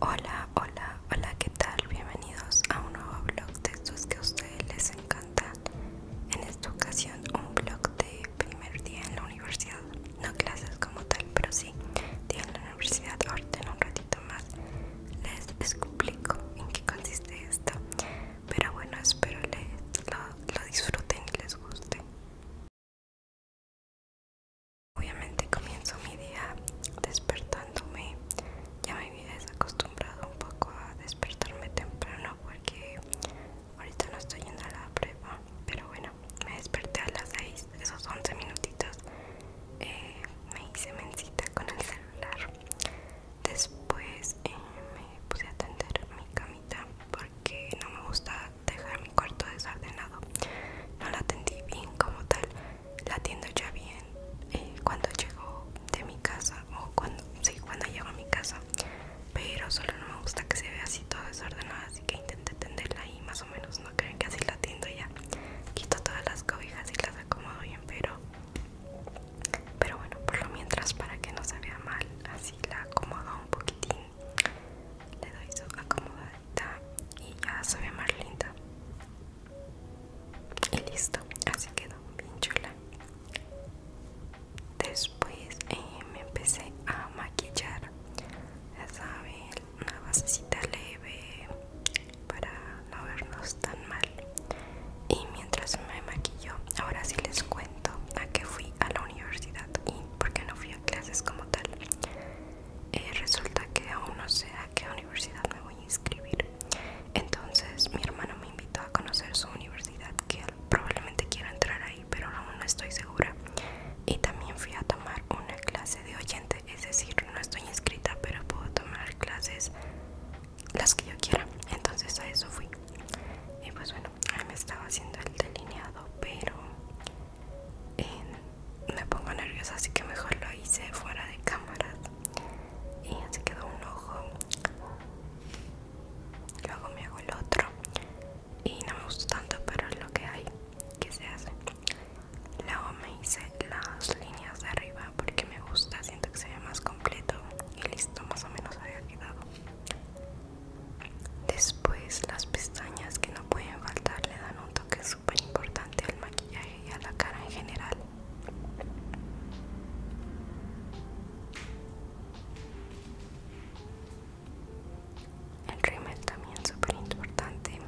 Hola, hola, hola, ¿qué tal? Bienvenidos a un nuevo blog de estos que a ustedes les encantan. En esta ocasión un blog de primer día en la universidad. No clases como tal, pero sí, día en la universidad. Ahorita en un ratito más les explico en qué consiste esto. Pero bueno, espero lo disfruten y les guste. Obviamente comienzo mi día despertándome. Ya me había acostumbrado un poco a despertarme temprano porque ahorita no estoy yendo a la prueba, Pero bueno, me desperté a las 6, esos 11 minutitos. Eh, me hice mencita con el celular. Después eh, me puse a tender mi camita porque no me gustaba dejar mi cuarto desordenado. No la atendí bien como tal, la atiendo ya bien eh, cuando llego de mi casa o cuando, sí, cuando llego a mi casa, pero solo no me gusta que se vea así todo desordenado, así que intenté tenderla y más o menos, no creen que así la atiendo ya. Quito todas las cobijas y las acomodo bien, pero pero bueno, por lo mientras para que no se vea mal, así la acomodo un poquitín le doy su acomodadita y ya se ve más linda y listo así quedó bien chula después eh, me empecé a maquillar ya saben una basecita leve para no vernos tan mal y mientras me maquillo ahora sí les cuento a qué fui a la universidad y porque no fui a clases como tal eh, resulta que aún no sé a qué universidad me voy a inscribir entonces mi hermano me invitó a conocer su universidad que probablemente quiero entrar ahí pero aún no estoy segura y también fui a tomar una clase de oyente es decir no estoy inscrita pero puedo tomar clases las que yo quiera entonces a eso fui y pues bueno me estaba haciendo el delineado pero y me pongo nerviosa así que mejor lo hice fuera de cámara y así quedó un ojo luego me hago el otro y no me gusta tanto pero es lo que hay que se hace luego me hice las líneas de arriba porque me gusta siento que se ve más completo y listo más o menos había quedado Después las pestañas que no pueden faltar le dan un toque súper importante al maquillaje y a la cara en general. El rímel también súper importante,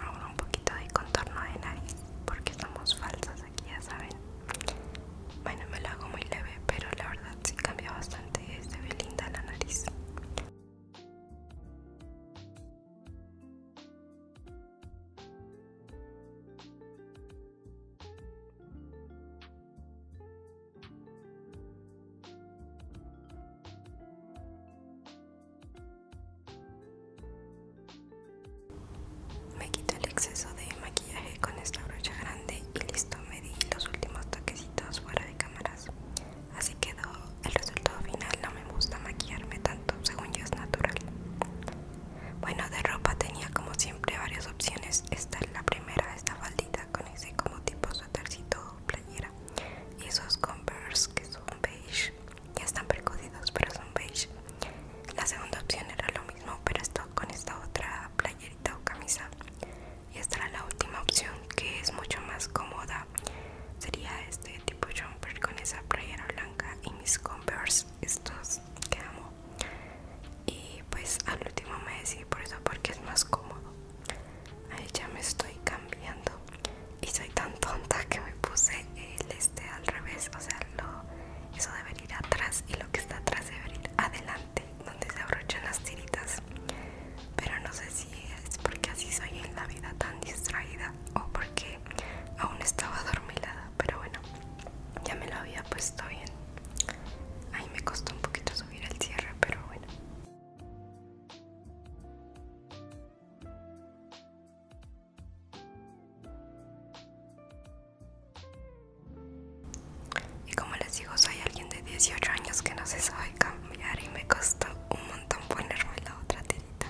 ahora un poquito de contorno de nariz porque estamos falsas aquí ya saben. Bueno me lo hago muy leve pero la verdad sí cambia bastante desde Belinda la nariz. Me quito el exceso de maquillaje con esta brocha grande y listo, me di los últimos toquecitos fuera de cámaras. Así quedó el resultado final. No me gusta maquillarme tanto, según yo es natural. Bueno, de ropa tenía como siempre varias opciones. Esta es la primera, esta faldita con ese como tipo suétercito playera. Y esos Converse que son beige. Ya están percudidos, pero son beige. La segunda opción era lo mismo, pero esto con esta otra playerita o camisa y esta era la última opción que es mucho más cómoda sería este tipo jumper con esa playera blanca y mis converse estos que amo y pues al último me decidí por eso porque es más cómodo ahí ya me estoy cambiando y soy tan tonta que me puse el este al revés o sea eso debe ir atrás y lo que está atrás debe ir adelante donde se abrochan las tiritas pero no sé si es porque así soy en la vida tan distraída o porque aún estaba adormilada pero bueno ya me lo había puesto bien ahí me costó un poquito subir el cierre pero bueno y como les digo, soy alguien de 18 años que no se sabe cambiar y me costó un montón ponerme la otra tirita.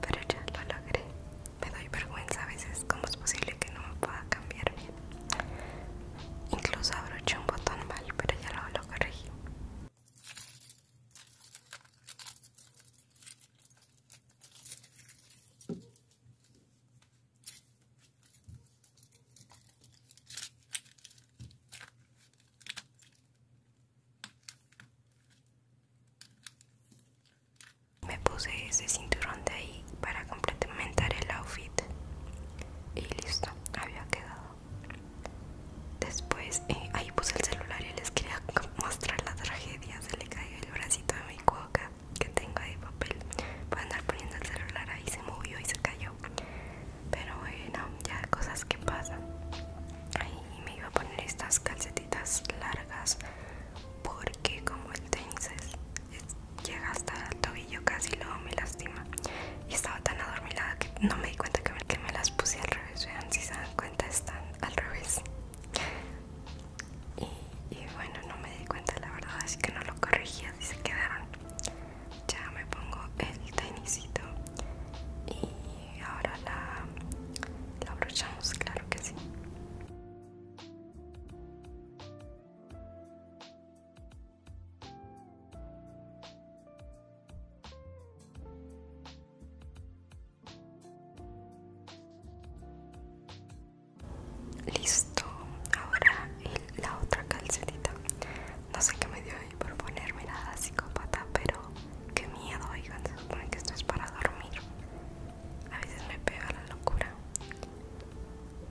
Pero ya lo logré. Me doy vergüenza a veces, ¿cómo es posible que no me pueda cambiar bien? Incluso abroché un botón mal, pero ya lo, lo corregí. Me puse ese cinturón de ahí para complementar el outfit y listo, había quedado. Después eh, ahí puse el celular y les quería mostrar la tragedia. Se le cayó el bracito de mi cuoca que tengo ahí de papel. Voy a andar poniendo el celular ahí, se movió y se cayó. Pero bueno, ya cosas que pasan. Ahí me iba a poner estas calcetitas largas porque como el tenis llega hasta el tobillo casi luego me lastima. Y estaba tan adormilada que no me di cuenta que me, que me las puse al revés. Vean si se dan cuenta están al revés. Y, bueno, no me di cuenta la verdad, así que no lo corregí, así se quedaron ya me pongo el tenisito y ahora la, la claro que sí. Listo, ahora la otra calcetita. No sé qué me dio ahí por ponerme nada psicópata, pero qué miedo, oigan, se supone que esto es para dormir. A veces me pega la locura.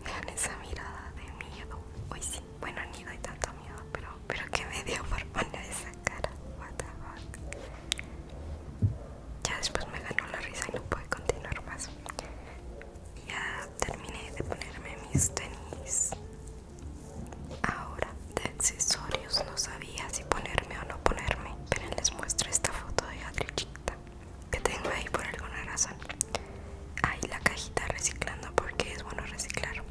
Vean esa mirada de miedo. Hoy sí, bueno, ni doy tanto miedo, pero, pero qué me dio por poner esa cara. Ya después me ganó la risa y no pude continuar más. Ya terminé de ponerme mis tenis. Ahora, de accesorios no sabía si ponerme o no ponerme, pero les muestro esta foto de Adrichita que tengo ahí por alguna razón. Ahí la cajita reciclando porque es bueno reciclar.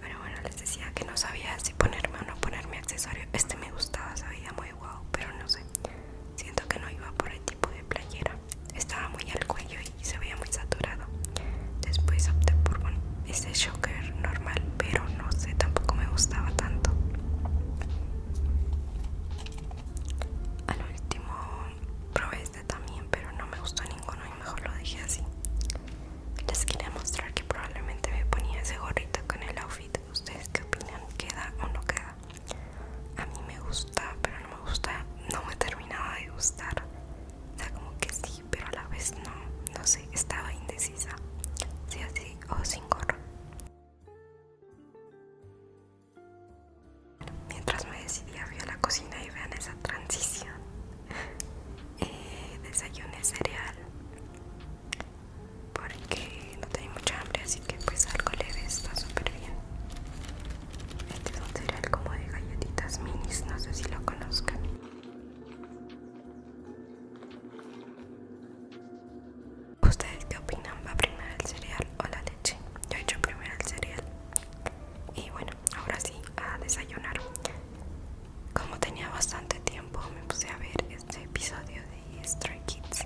Pero bueno, les decía que no sabía si ponerme o no ponerme accesorio. Este me gustaba, sabía muy guau, pero no sé. Siento que no iba por el tipo de playera estaba muy al cuello y se veía muy saturado. Después opté por ese shocker normal, pero no sé, tampoco me gustaba tanto. Al último probé este también, pero no me gustó ninguno y mejor lo dejé así. Les quería mostrar que probablemente me ponía ese gorrito con el outfit. ¿Ustedes qué opinan? ¿Queda o no queda? A mí me gustó pero no me gusta, no me terminaba de gustar. O como que sí, pero a la vez no, no sé, estaba indecisa. Sí así o sin gorro. Mientras me decidía fui a la cocina y vean esa transición. Eh, desayuné cereal porque no tenía mucha hambre, así que pues algo leve está súper bien. Este es un cereal como de galletitas minis, no sé si lo conozcan. ¿Ustedes qué opinan? ¿Va primero el cereal o la leche? Yo he hecho primero el cereal. Y bueno, ahora sí, a desayunar. Como tenía bastante tiempo, me puse a ver este episodio de Stray Kids.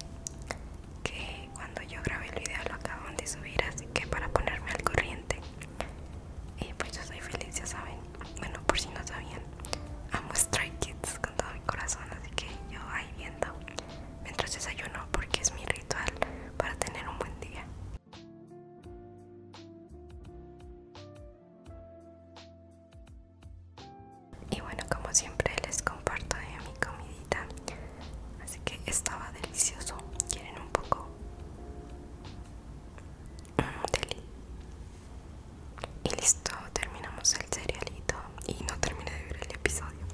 Que cuando yo grabé el video lo acaban de subir, así que para ponerme al corriente. Y pues yo soy feliz, ya saben. Bueno, por si no sabían, amo strike Kids con todo mi corazón, así que yo ahí viendo mientras desayuno porque es mi ritual para tener un buen día. Y bueno, como siempre les comparto de mi comidita Así que estaba delicioso. ¿Quieren un poco? Deli. Y listo, terminamos el cerealito y no terminé de ver el episodio.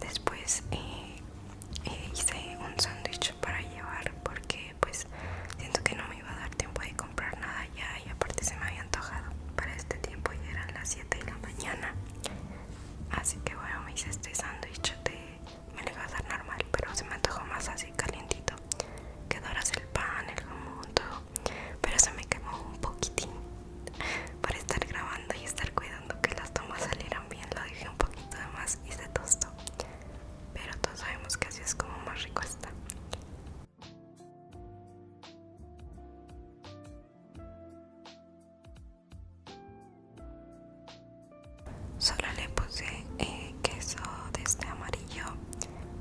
Después eh, eh, hice un sándwich para llevar porque pues siento que no me iba a dar tiempo de comprar nada ya y aparte se me había antojado para este tiempo y eran las 7 de la mañana. Así que bueno, me hice este sándwich de me le iba a dar normal pero se me antojó más así calientito quedó el pan, el jamón, todo pero se me quemó un poquitín Para estar grabando y estar cuidando que las tomas salieran bien lo dejé un poquito de más y se tostó pero todos sabemos que así es como más rico está Solo le puse eh, queso de este amarillo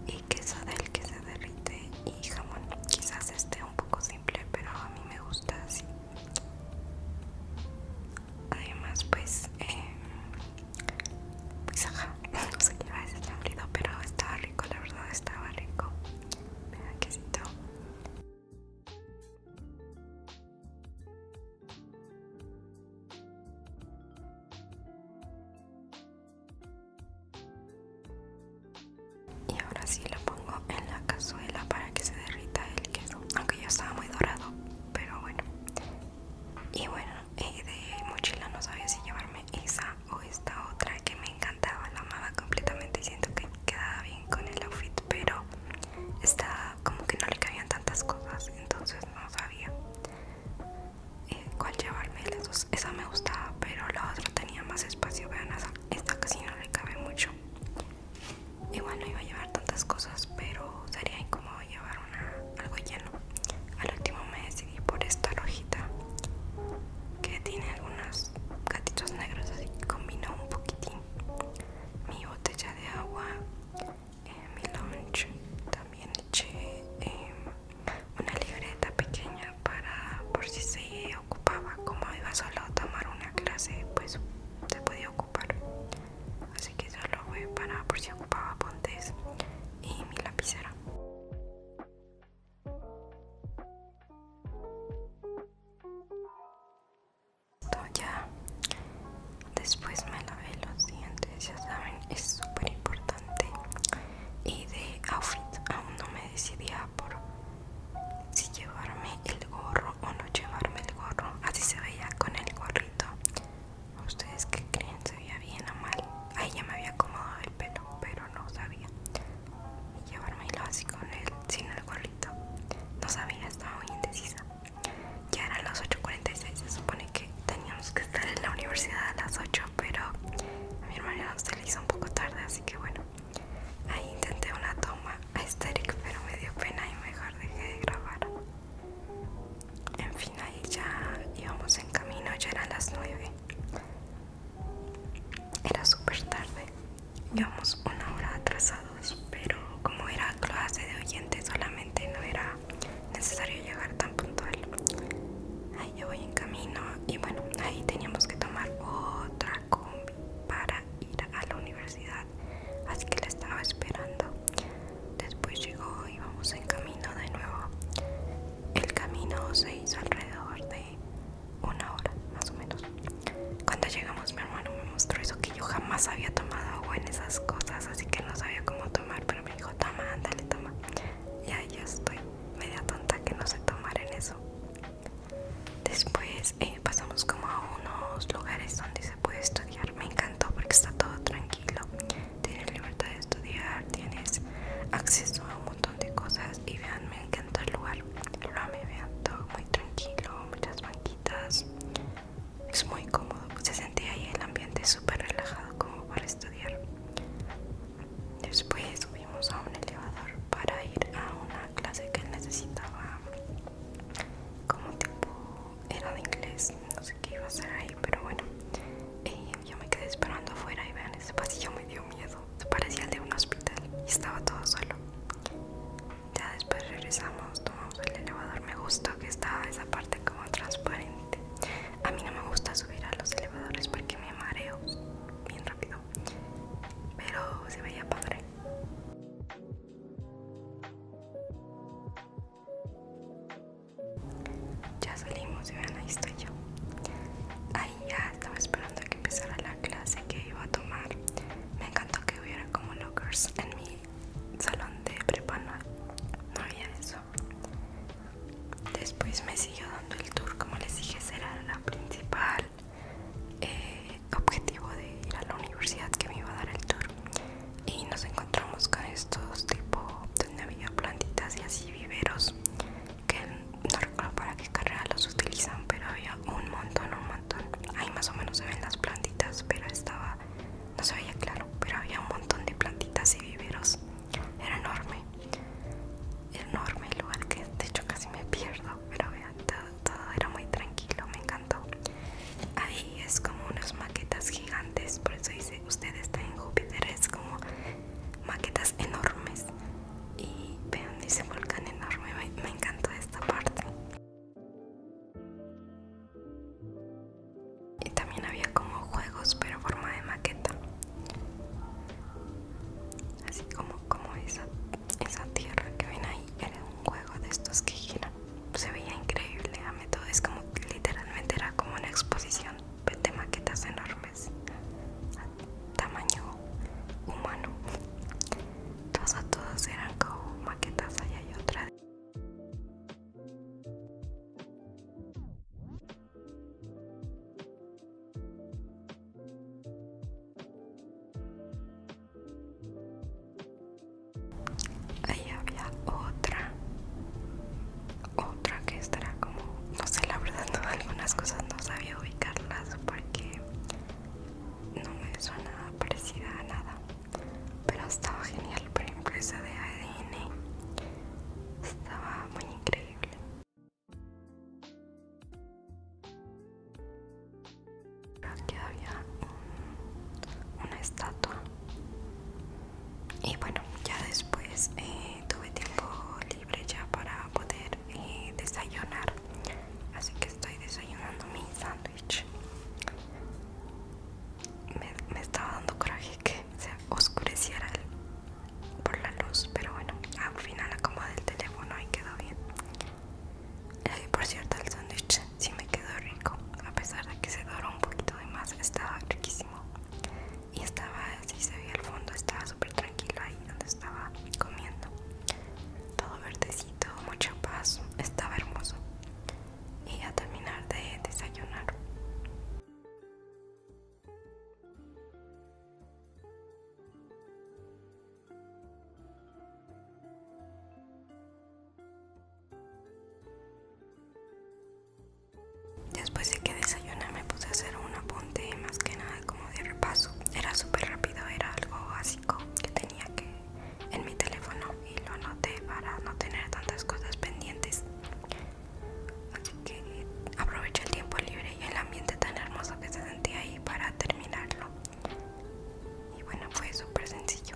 y queso del que se derrite y jamón. Quizás esté un poco simple, pero a mí me gusta así. Además, pues, eh, pues ajá, no sé qué va a decir pero estaba rico, la verdad estaba rico. Me y ahora sí lo pongo en la cazuela para que se derrita el queso, aunque ya estaba muy dorado, pero bueno. Y bueno, de mochila no sabía si llevarme esa o esta otra que me encantaba, la amaba completamente siento que quedaba bien con el outfit, pero está como que no le cabían tantas cosas, entonces no sabía eh, cuál llevarme. Las dos, esa me gustaba, pero la otra tenía más espacio. Vean, esta casi no le cabe mucho. Igual no iba a llevar tantas cosas, pero sería incómodo llevar algo lleno. Al último me decidí por esta rojita que tiene algunos gatitos negros, así que combinó un poquitín mi botella de agua, eh, mi lunch. También eché em, una libreta pequeña para por si se ocupaba. Como iba solo a tomar una clase, pues se podía ocupar. Así que solo fue para por si ocupaba pontes y mi lapicera esto ya después me lavé los dientes ya saben es súper importante y de outfit aún no me decidía por si llevarme el gorro o no llevarme el gorro así se veía con el gorrito ustedes que creen se veía bien o mal ahí ya me había acomodado el pelo pero no sabía y así con él sin el gorrito no sabía, estaba muy indecisa. Ya eran las 8.46, se supone que teníamos que estar en la universidad a las 8, pero mi hermana se le hizo un poco tarde, así que bueno. Ahí intenté una toma estéril, pero me dio pena y mejor dejé de grabar. En fin, ahí ya íbamos en camino, ya eran las 9. Era súper tarde Llevamos una hora atrasados, pero como era clase de oyente solamente no era necesario llegar tan puntual. Ahí yo voy en camino y bueno, ahí teníamos que tomar otra combi para ir a la universidad, así que la estaba esperando. Después llegó y vamos en camino de nuevo. El camino se hizo alrededor de una hora, más o menos. Cuando llegamos mi hermano me mostró eso que yo jamás había tomado agua en esas cosas, así que no sabía cómo tomar, pero me dijo, toma, dale toma. ya ya estoy, media tonta que no sé tomar en eso. Después eh, pasamos como a unos lugares donde se puede estudiar, me encantó porque está todo tranquilo, tienes libertad de estudiar, tienes acceso a un montón de cosas y vean, me encantó el lugar, lo me vean todo muy tranquilo, muchas es muy cómodo, se sentía ahí el ambiente súper relajado como para estudiar. Después subimos a un elevador para ir a una clase que necesitaba, como tipo era de inglés, no sé qué iba a ser ahí, pero bueno. y yo me quedé esperando afuera y vean, ese pasillo me dio miedo, parecía el de un hospital y estaba todo solo. Ya después regresamos, tomamos el elevador. Me gustó que estaba esa parte como transparente. A mí no me gusta subir a los elevadores porque me mareo bien rápido. Pero se veía padre. Ya salimos y vean, ahí estoy yo. Ahí ya estaba esperando cuando que empezara la clase que iba a tomar. Me encantó que hubiera como lockers en mi salón de prepa, no, había eso. Después me siguió dando el tour, como les dije, será la principal eh, objetivo de ir a la universidad que me iba a dar el tour. Y nos encontramos con estos tipo donde había plantitas y así viveros que no recuerdo para qué carrera los utilizan, pero había un montón, un montón Ahí más o menos se ven las plantitas, pero estaba, no se veía claro, pero había un montón de plantitas y viveros. Era enorme, enorme el lugar que de hecho casi me pierdo, pero vean, todo, era muy tranquilo, me encantó. Ahí es como unas maquetas gigantes, por eso dice, Ustedes está en Júpiter, es como maquetas enormes. Y vean, dice volcán enorme, me encantó esta parte. Y también había como juegos, pero forma de maqueta. Así como, como esa, esa tierra que ven ahí era un juego de estos que giran. Se veía increíble, a todo. Es como literalmente era como una exposición de maquetas enormes, tamaño humano todos todos eran como maquetas allá hay otra. Ahí había otra, otra que estará como, no sé, la verdad, algunas cosas no sabía ubicarlas porque no me suena parecida a nada pero estaba genial por empresa de ADN estaba muy increíble aquí había una estatua y bueno ya después eh, tuve tiempo libre ya para poder eh, desayunar así que estoy desayunando mi sándwich. Me, estaba dando coraje que se oscureciera por la luz, pero bueno, al final acomodé el teléfono y quedó bien. Y eh, por cierto, el sándwich sí me quedó rico, a pesar de que se doró un poquito de más, estaba riquísimo. Y estaba, así se veía el fondo, estaba súper tranquilo ahí donde estaba comiendo. Todo verde todo mucho paz, estaba hermoso. Y a terminar de desayunar. Después de que desayuné me puse a hacer un apunte más que nada como de repaso. Era súper rápido, era algo así que tenía que en mi teléfono y lo anoté para no tener tantas cosas pendientes. Así que aproveché el tiempo libre y el ambiente tan hermoso que se sentía ahí para terminarlo. Y bueno, fue súper sencillo.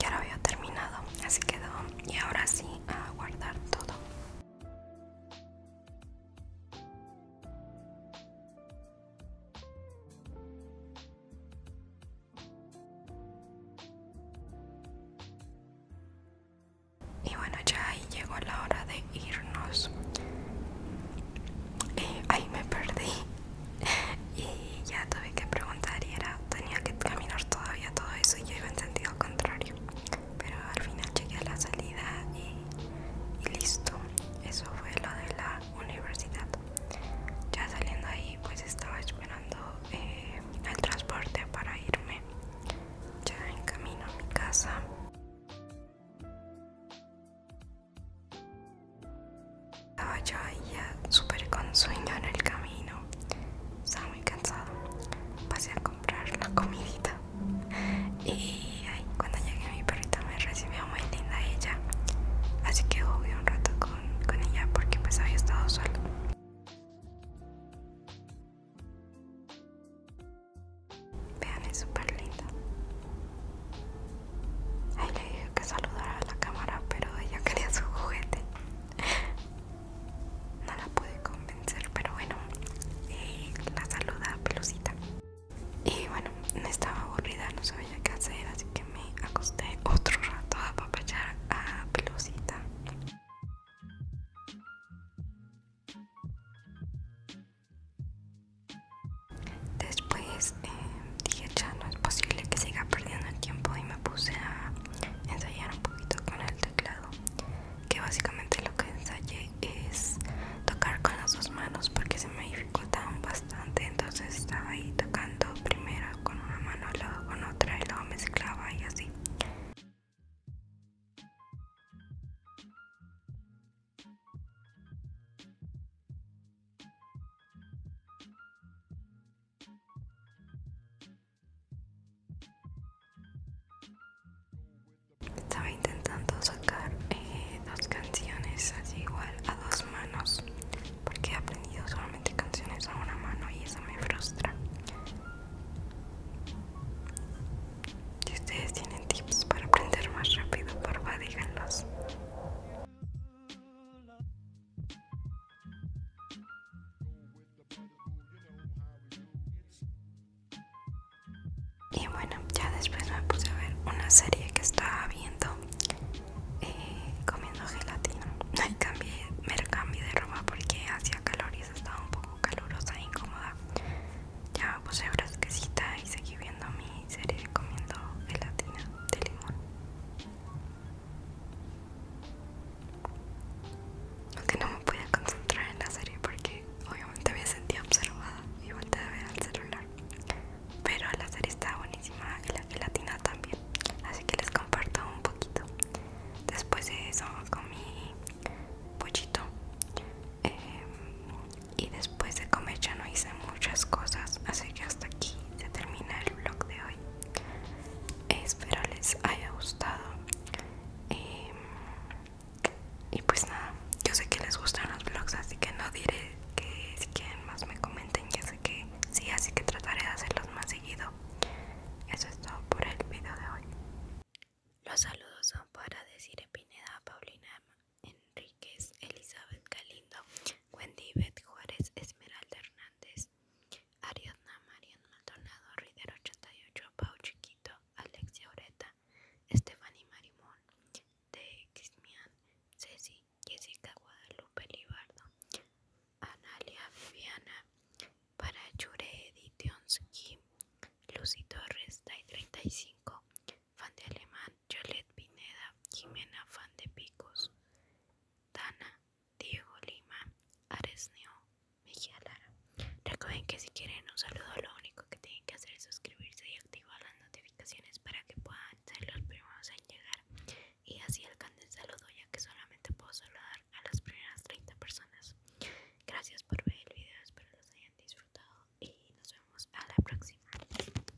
Ya lo había terminado, así quedó. Y ahora sí, a guardar todo. Y bueno, ya ahí llegó la hora de irnos. Eh, ahí me perdí y ya tuve que preguntar y era tenía que caminar todavía todo eso y yo iba en sentido contrario pero al final llegué a la salida y, listo eso fue lo de la universidad ya saliendo ahí pues estaba esperando eh, el transporte para irme ya en camino a mi casa estaba yo ahí ya súper con sueño en el camino. Estaba muy cansado. Pasé a comprar la comidita. Y cuando llegué mi perrita me recibió muy linda ella. Así que jugué un rato con, ella porque pues había estado solo. Vean, es súper linda. Ahí le dije que saludara a la cámara, pero ella quería su juguete. No la pude convencer, pero bueno, eh, la saluda pelucita. Y bueno, me estaba aburrida, no sabía qué hacer, así que me acosté otro rato a papachar a pelucita. Después pues, eh, dije ya no es posible que siga perdiendo el tiempo y me puse a ensayar un poquito con el teclado que básicamente lo que ensayé es tocar con las dos manos porque se me dificultaban bastante entonces estaba ahí tocando primero con una mano luego con otra y luego mezclaba y así estaba intentando sacar eh, dos canciones así igual a dos manos porque he aprendido solamente canciones a una mano y eso me frustra. Si ustedes tienen tips para aprender más rápido, Por favor díganlos. Y bueno, ya después me puse a ver una serie que estaba viendo eh, comiendo gelatina. me cambié, me cambié de ropa porque hacía calor y estaba un poco calurosa e incómoda. Ya puse puse fresquecita y seguí viendo mi serie comiendo gelatina de limón. Aunque no me pude concentrar en la serie porque obviamente me sentía observada y volteé a ver al celular. Pero la serie está buenísima y la gelatina también. Así que les comparto un poquito. Después de eso comí pollito. Em, y después de comer ya no hice muchas cosas. Así que hasta aquí se termina el vlog de hoy. Espero les haya gustado. Em, y pues nada, yo sé que les gustan los vlogs, así que no diré que si quieren más me comenten. yo sé que sí, así que trataré de hacerlos más seguido. Eso es todo por el video de hoy. Los saludos son para decir Pineda, Paulina, Enriquez, Elizabeth Galindo, Wendy Beth Juárez, Esmeralda Hernández, Ariadna Marian Maldonado, Rider 88, Pau Chiquito, Alexia Oreta, Estefani Marimón, de Ceci, Jessica Guadalupe Libardo, Analia Fiana, Parachure, Lucy Torres, Day 35, Fan de Alemán, Cholet Pineda, Jimena Fan de Picos, Tana, Diego Lima, Aresneo, Mejia Lara. Recuerden que si quieren un saludo, lo único que tienen que hacer es suscribirse y activar las notificaciones para que puedan ser los primeros en llegar y así el saludo, ya que solamente puedo saludar a las primeras 30 personas. Gracias por ver el video, espero los hayan disfrutado y nos vemos a la próxima.